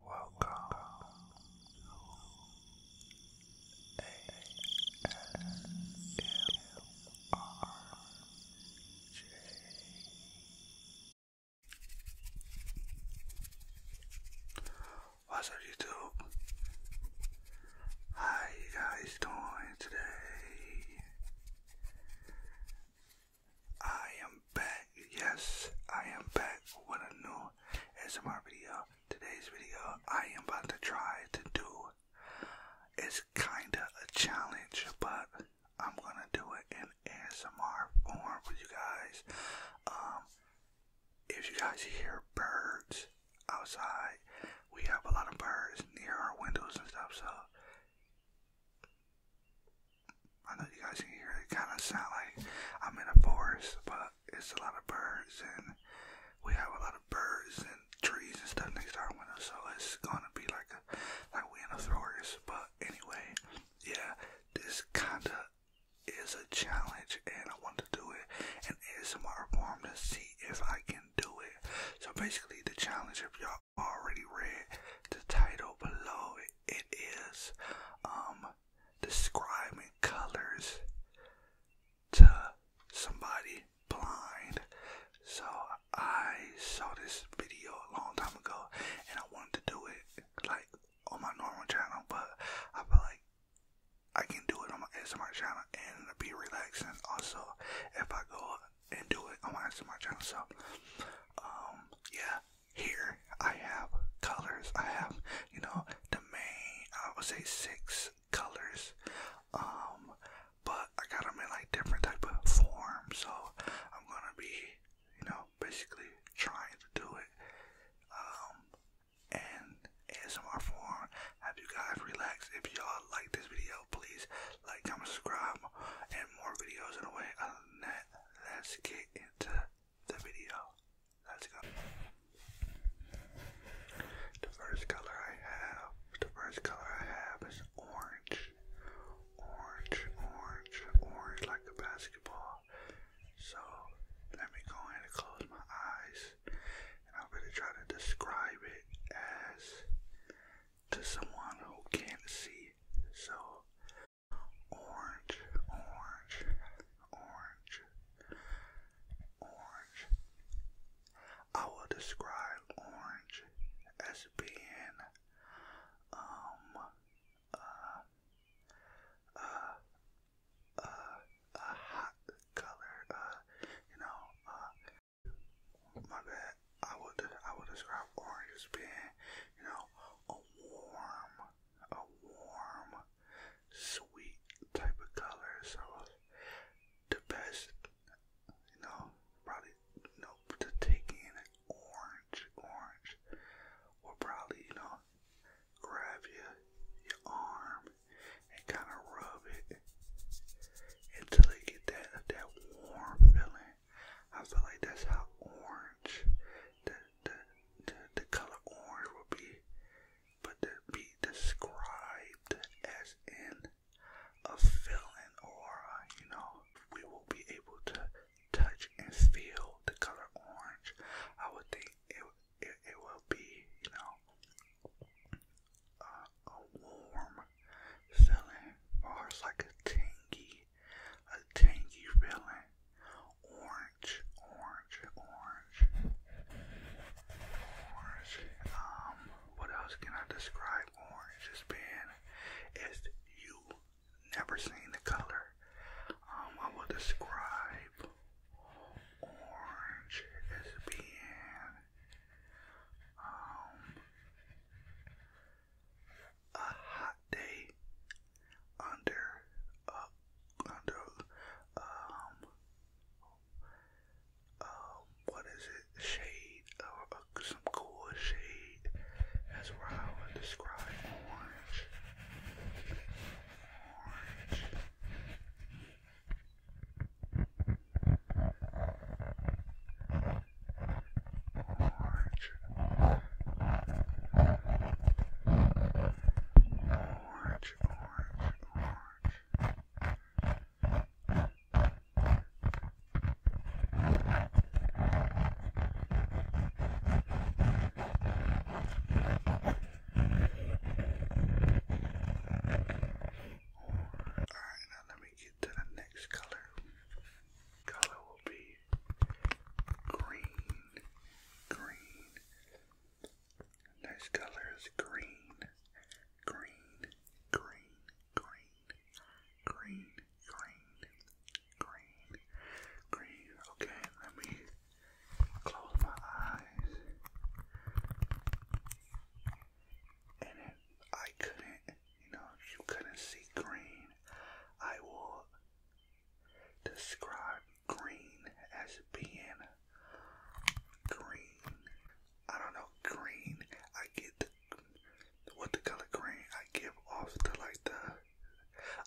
Welcome to What's up, YouTube? How guys doing today? I am Yes, I am back with a new ASMR video. Today's video, I am about to try to do. It's kinda a challenge, but I'm gonna do it in ASMR form with you guys. Um, if you guys hear birds outside, we have a lot of birds near our windows and stuff. So I know you guys can hear it kind of sound like I'm in a forest, but it's a lot of birds, and we have a lot of birds and trees and stuff next to our window, so it's gonna be like a like we in a forest. But anyway, yeah, this kinda is a challenge, and I want to do it and it's ASMR form to see if I can do it. So basically, the challenge, if y'all already read the title below, it is um describing colors to somebody blind. So I saw this video a long time ago and I wanted to do it like on my normal channel, but I feel like I can do it on my ASMR channel and it'll be relaxing also if I go and do it on my ASMR channel. So, um, yeah, here I have colors. I have, you know, the main, I would say six colors. Um, but I got them in like different type of form. So I'm gonna be, you know, basically trying to do it. Um, and ASMR form. Have you guys relaxed? If y'all like this video, please like, comment, subscribe, and more videos in a way. Other than that, let's get into the video. Let's go. The first color I have, the first color I have is orange. Orange, orange, orange like a basketball. So let me go in and close my eyes and I'm gonna try to describe it as to someone who can't see. So orange, orange, orange, orange. I will describe orange as being um uh uh uh a hot color, uh you know, uh my bad. I would I would describe orange as being, you know, a warm, a warm, sweet type of color. So the best, you know, probably you know to take in an orange, orange will probably you know grab your your arm and kind of rub it until it get that that warm feeling. I feel like that's how orange the the the, color orange will be, but to be described as in a feeling or you know we will be able to touch and feel the color orange. I would think it it, will be you know. a warm feeling, or it's like a tingy a tangy feeling. Orange, orange, orange. Orange. Um, what else can I describe orange as being? Is you never seen the color. Um, I will describe orange as being um, a hot day under uh, under um, um what is it shade or uh, some cool shade that's where I would describe orange orange, orange, orange, Alright, now let me get to the next color. Color will be green, green. Nice colors green, green, green, green, green, green, green, green. Okay, let me close my eyes. And I couldn't you know, you couldn't see green, I will describe green as being green. I don't know, green. I get what the color green I give off the like the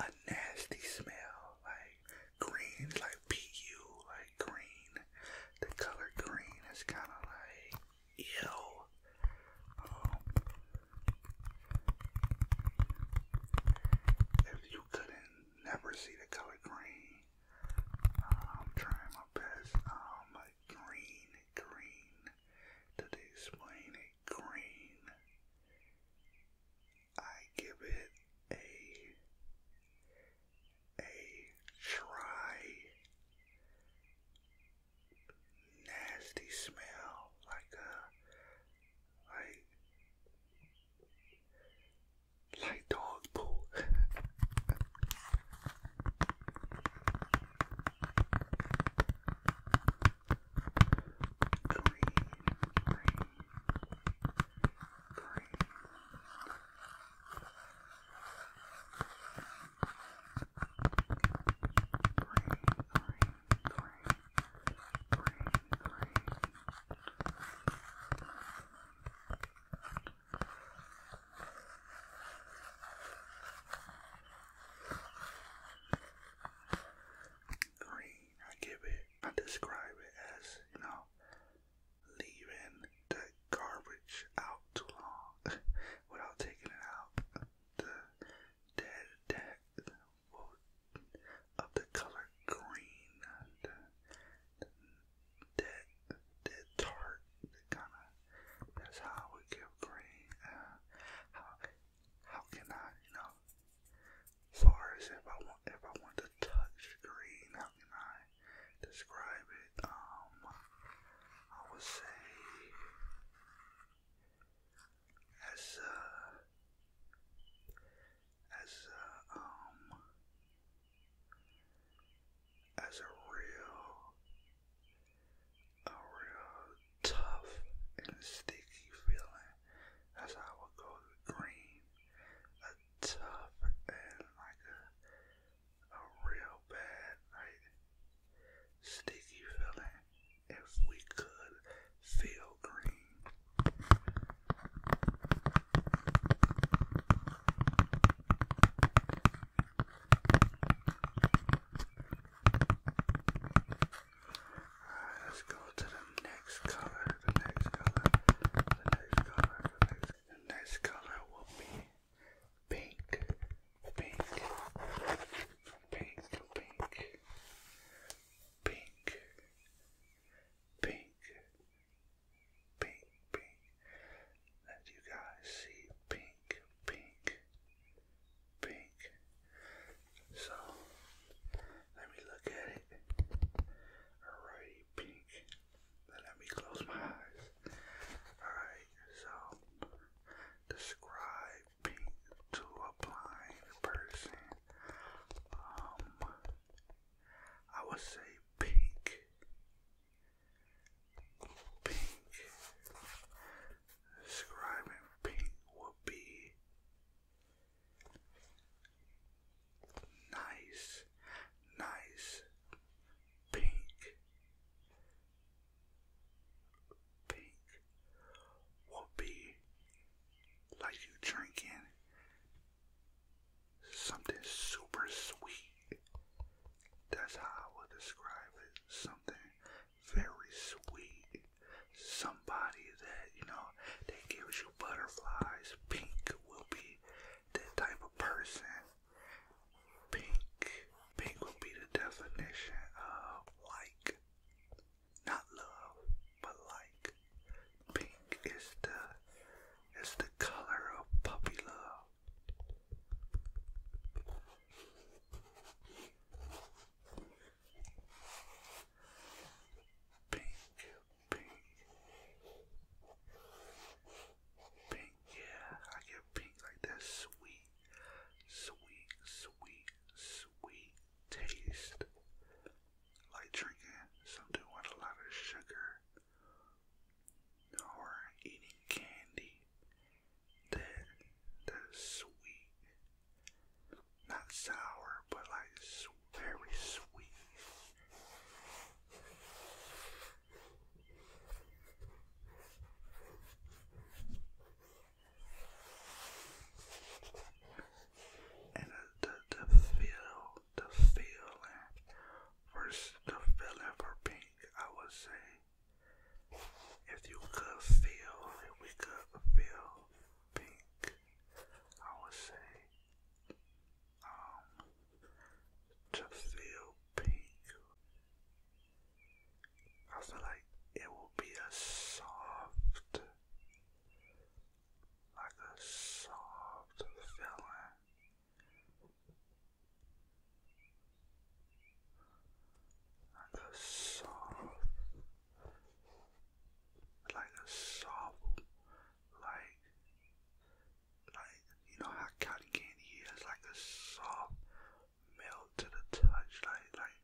a nasty smell, like green, like pu, like green. The color green is kind of like Ew. Um, if you couldn't never see the color green, I'm trying my best. Um, green, green. Did they Green. I give it a a try nasty smell, like a uh, like like dog poo. green, Green, I give it, I describe it as, you know, leaving the garbage out too long without taking it out the dead, dead of the color green, the, the dead, dead tart, kind of, that's how we get give green, how, how can I, you know, far as if I want, if I want to touch green, how can I describe um, I would say as a, as a, um, as a real, a real tough and sticky feeling. That's I would go green. A tough and like a real bad, sticky feeling if we could feel green. Alright, let's go to the next color, the next color, the next color, the next color will be pink, pink, pink, pink, pink, pink, pink, pink. Let you guys see pink, pink, pink. So let me look at it. Alrighty, pink. Then let me close my eyes. Alright, so describe paint to a blind person. Um, I would say pink, pink. Describing pink would be nice, nice, pink pink will be like you drinking something super sweet. That's how I would describe it. Something very sweet. Somebody that, you know, that gives you butterflies. Pink will be that type of person Pink. Pink would be the definition of like. Not love, but like. Pink is the is the color of puppy love. Pink, pink. Pink, yeah, I get pink like that sweet, sweet, sweet, sweet taste. Like drinking something with a lot of sugar or eating candy. That, that sweet, not sour, but like very sweet and the, the, feel, the feeling, first the feeling for pink, I would say, if you could feel, if we could feel pink, I would say, um, to feel pink. I feel like it will be a soft, like a soft feeling. Like a soft, like a soft, like like you know how cotton candy is like a soft melt to the touch, like like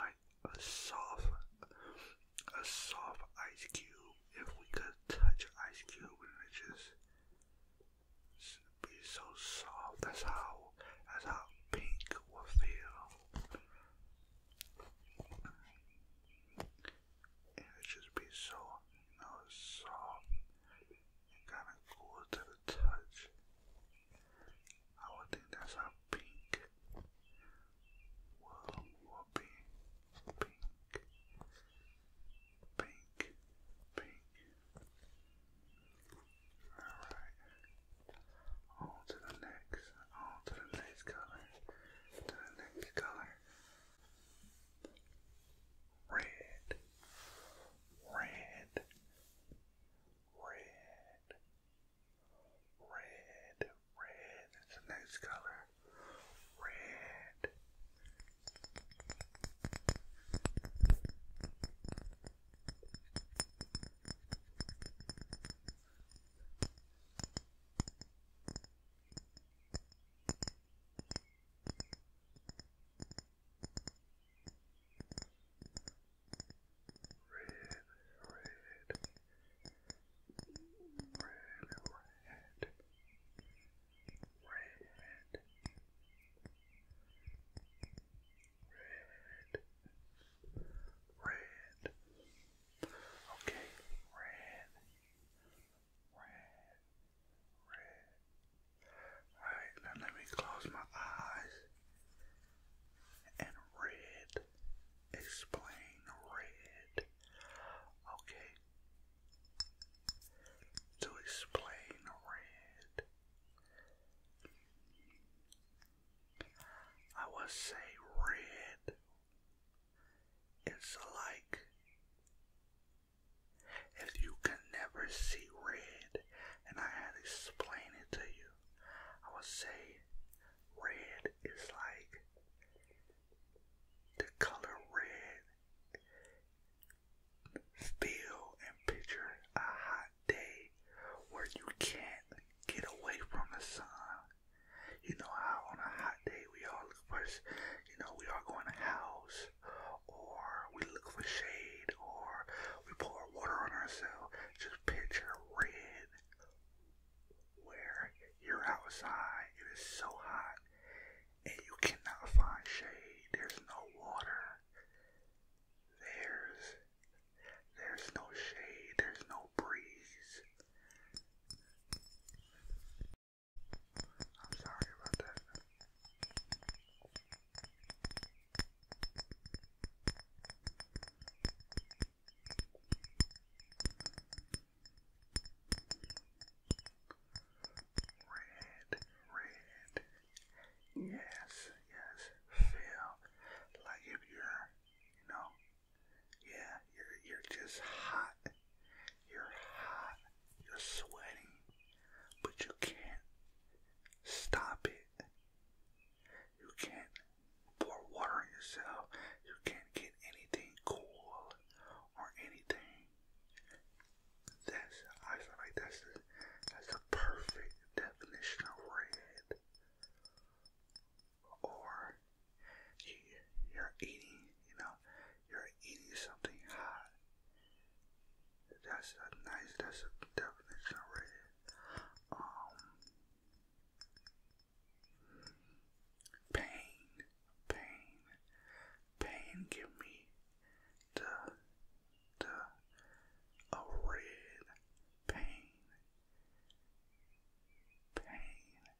like a soft a soft ice cube. If we could touch ice cube and it just be so soft, that's how that's how pink will feel. And it just be so you know soft kind of cool to the touch. I would think that's how pink will, will be. Pink, pink, pink. Alright. On to the next, on to the next color, to the next color red, red, red, red, red. That's the next color. Red, red, red, red, red. Red. Okay, red, red, red. Alright, let me close my eyes and red. Explain red. Okay. To explain red, I would say red is like if you can never see red and I had to explain it to you, I would say red is like the color red. Feel and picture a hot day where you can't get away from the sun. You know how on a hot day we all look first, you know, we all go in the house, or we look for shade, or we pour water on ourselves. Just picture red where you're outside, it is so hot, and you cannot find shade. There's no water. There's there's no shade. There's no breeze. I'm sorry about that. Red, red. Yes, yes. Feel like if you're, you know, yeah, you're you're just hot you're hot. You're sweating. But you can't stop it. You can't pour water on yourself. You can't get anything cool or anything. That's I feel like that's the that's the perfect definition of red. Or you're eating, you know, you're eating something hot. That's a nice, that's a definition already. Um, pain, pain, pain give me the, the, a red pain, pain,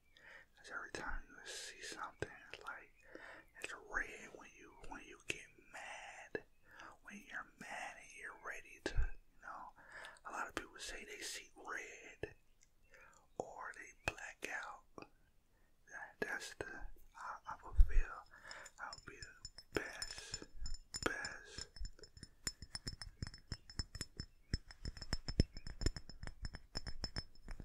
Cause every time you see something, it's like it's red when you when you get mad. When you're mad and you're ready to, you know, a lot of people say they see red or they black out. that's the how I feel i feel the best, best.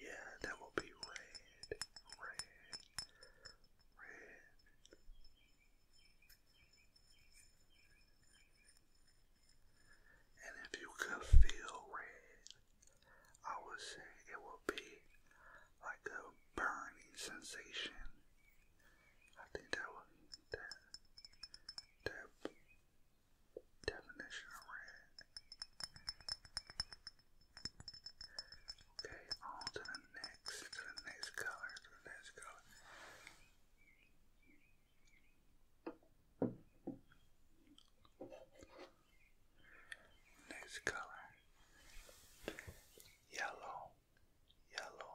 Yeah, that will be red, red, red. And if you could feel red, I would say it will be like a burning sensation. I think that would that that definition of red. Okay, on to the next, to the next color, to the next color. Next color, yellow, yellow,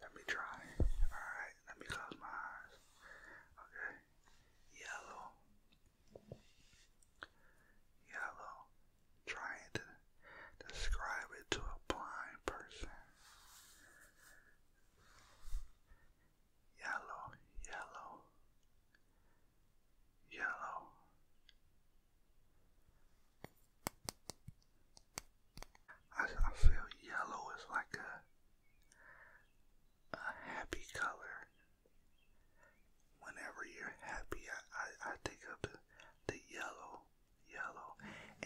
let me try. Alright, let me close my eyes. Okay. Yellow. Yellow. Trying to describe it to a blind person. Yellow, yellow, yellow, I, feel yellow is like a a happy color. Whenever you're happy, I, I, I think the the yellow, yellow,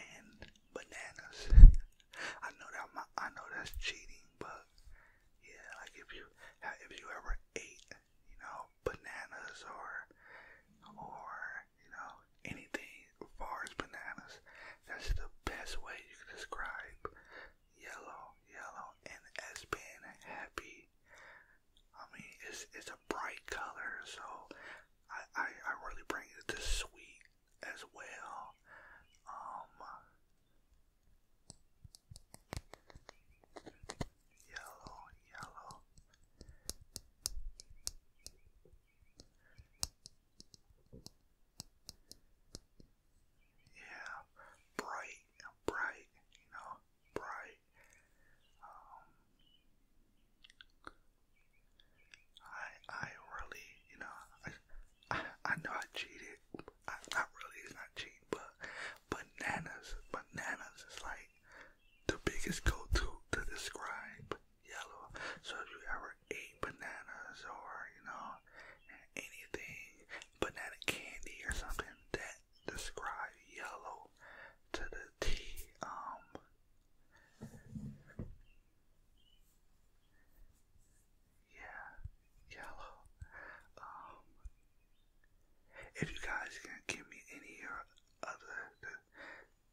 and bananas. I know that my, I know that's cheating, but yeah, like if you if you ever ate, you know, bananas or or you know, anything far as bananas. That's the best way you can describe yellow, yellow, and as being happy. I mean, it's it's a bright color, so I I, I really bring it to sweet as well. Um, yellow, yellow. Yeah, bright, bright, you know, bright. Um, I, I really, you know, I, I, know I cheated. I, I really is not cheat, but bananas, bananas is like the biggest go-to to describe yellow. So if you ever ate bananas or, you know, anything, banana candy or something that describe yellow to the T, um, yeah, yellow, um, if you guys can give me any or the,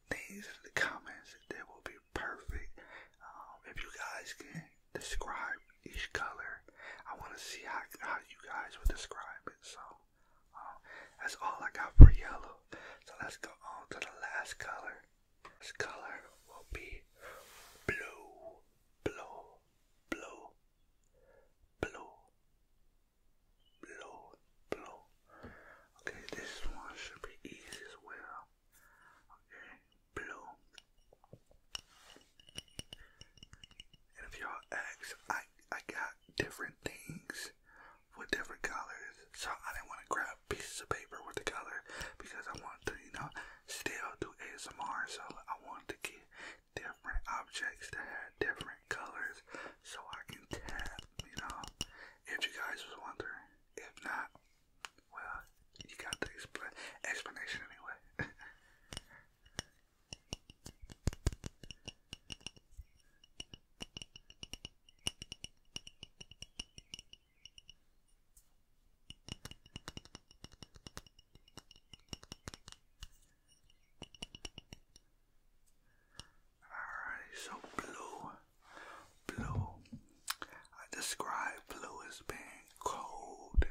things in the comments. That will be perfect. Um, if you guys can describe each color, I want to see how, how you guys would describe it. So um, that's all I got for yellow. So let's go on to the last color. This color will be blue, blue, blue, blue, blue, blue. Okay, this one should be easy as well. Okay, blue. And if y'all ask, I I got different things with different colors, so I didn't want to grab pieces of paper with the color because I wanted to, you know, still do ASMR. So I wanted to get different objects that had different colors, so I can tap, you know, if you guys was wondering. If not, well, you got the explanation anyway. Alrighty, so blue. Blue. I describe blue as being cold,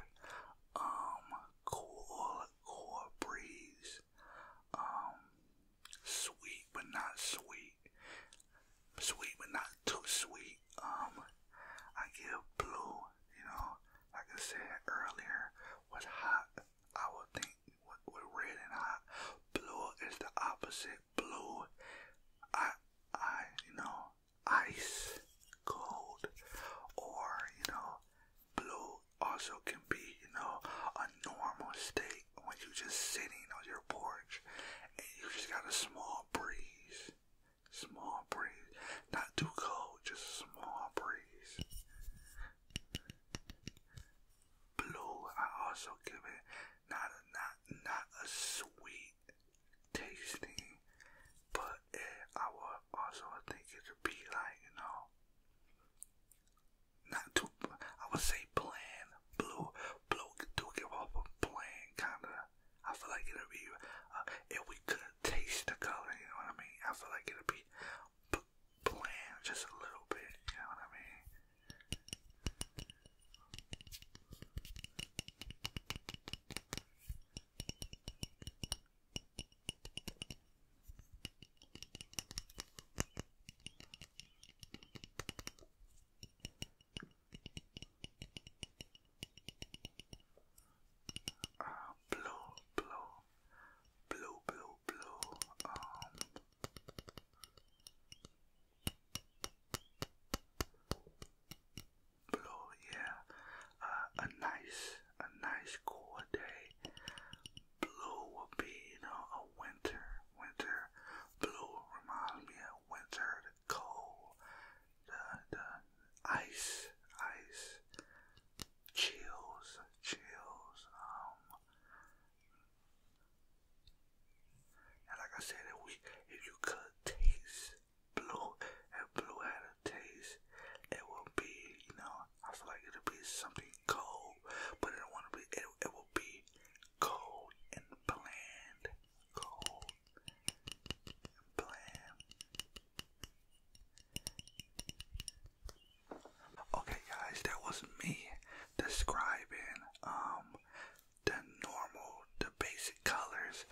um, cool, cool breeze, um, sweet but not sweet, sweet but not too sweet. Um, I give blue, you know, like I said earlier, was hot. I would think with red and hot. Blue is the opposite. Blue, I, I, you know, ice cold, or you know, blue also can be, you know, a normal state when you're just sitting on your porch and you just got a small breeze, small breeze, not too cold, just a small breeze. Blue, I also give it not a not not a sweet tasting, but I would also think it would be like you know, not too. I would say bland. Blue, blue do give off a bland kind of. I feel like it would be uh, if we could taste the color. You know what I mean? I feel like it'll be just a little bit, you know what I mean? Uh, blue, blue, blue, blue, blue, um, Blue, yeah, uh, a nice, a nice cool day. Blue would be, you know, a winter, winter. Blue reminds me of winter, cold, the the ice, ice, chills, chills. Um, and like I said, if we if you could taste blue and blue had a taste, it would be, you know, I feel like it'll be something cold, but it wanna be it it will be cold and bland. Cold and bland. Okay, guys, that was me describing um the normal, the basic colors.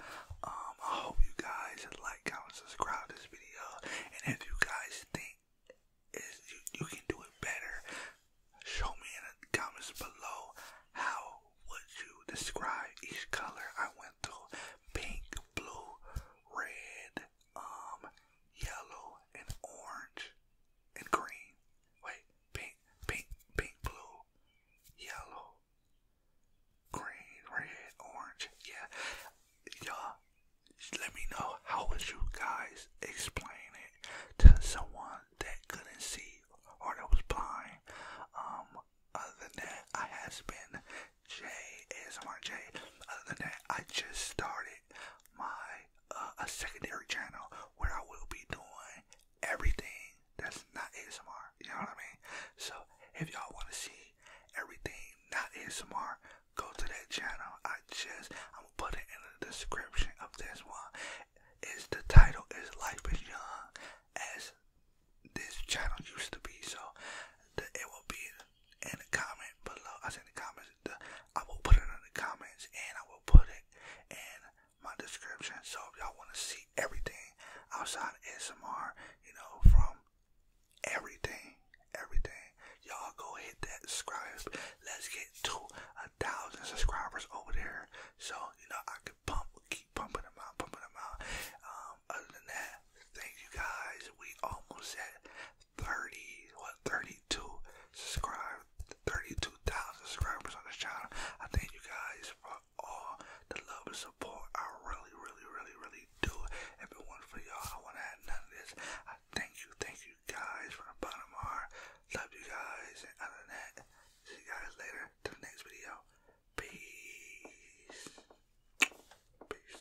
Um, I hope you guys like, comment, subscribe to this video, and if you guys think is you, you can do it better, show me in the comments below how would you describe each color I went through: pink, blue, red, um, yellow and orange and green. Wait, pink, pink, pink, blue, yellow, green, red, orange. Yeah, y'all. Let me know how would you guys explain it to someone that couldn't see or that was blind. Um, other than that, I has been J ASMR J. Other than that, I just started my uh, a secondary channel where I will be doing everything that's not ASMR. You know what I mean? So if y'all want to see everything not ASMR, go to that channel. I just I'm gonna put it in the description of this one. Is the title is Life is Young as this channel used to be. So the, it will be in the comment below. I said the comments, I will put it in the comments and I will put it in my description. So if y'all want to see everything outside of S M R, you know, from everything, everything, y'all go hit that subscribe. Let's get to a thousand subscribers over there. So, you know, I can pump, keep pumping them out, pumping them out. Um, other than that, Thank you guys. We almost at 30, what, 32 subscribers, 32,000 subscribers on this channel. I thank you guys for all the love and support. I really, really, really, really do. If it wasn't for y'all, I wanna have none of this. I thank you, thank you guys from the bottom of my heart. Love you guys. And other than that, see you guys later to the next video. Peace. Peace.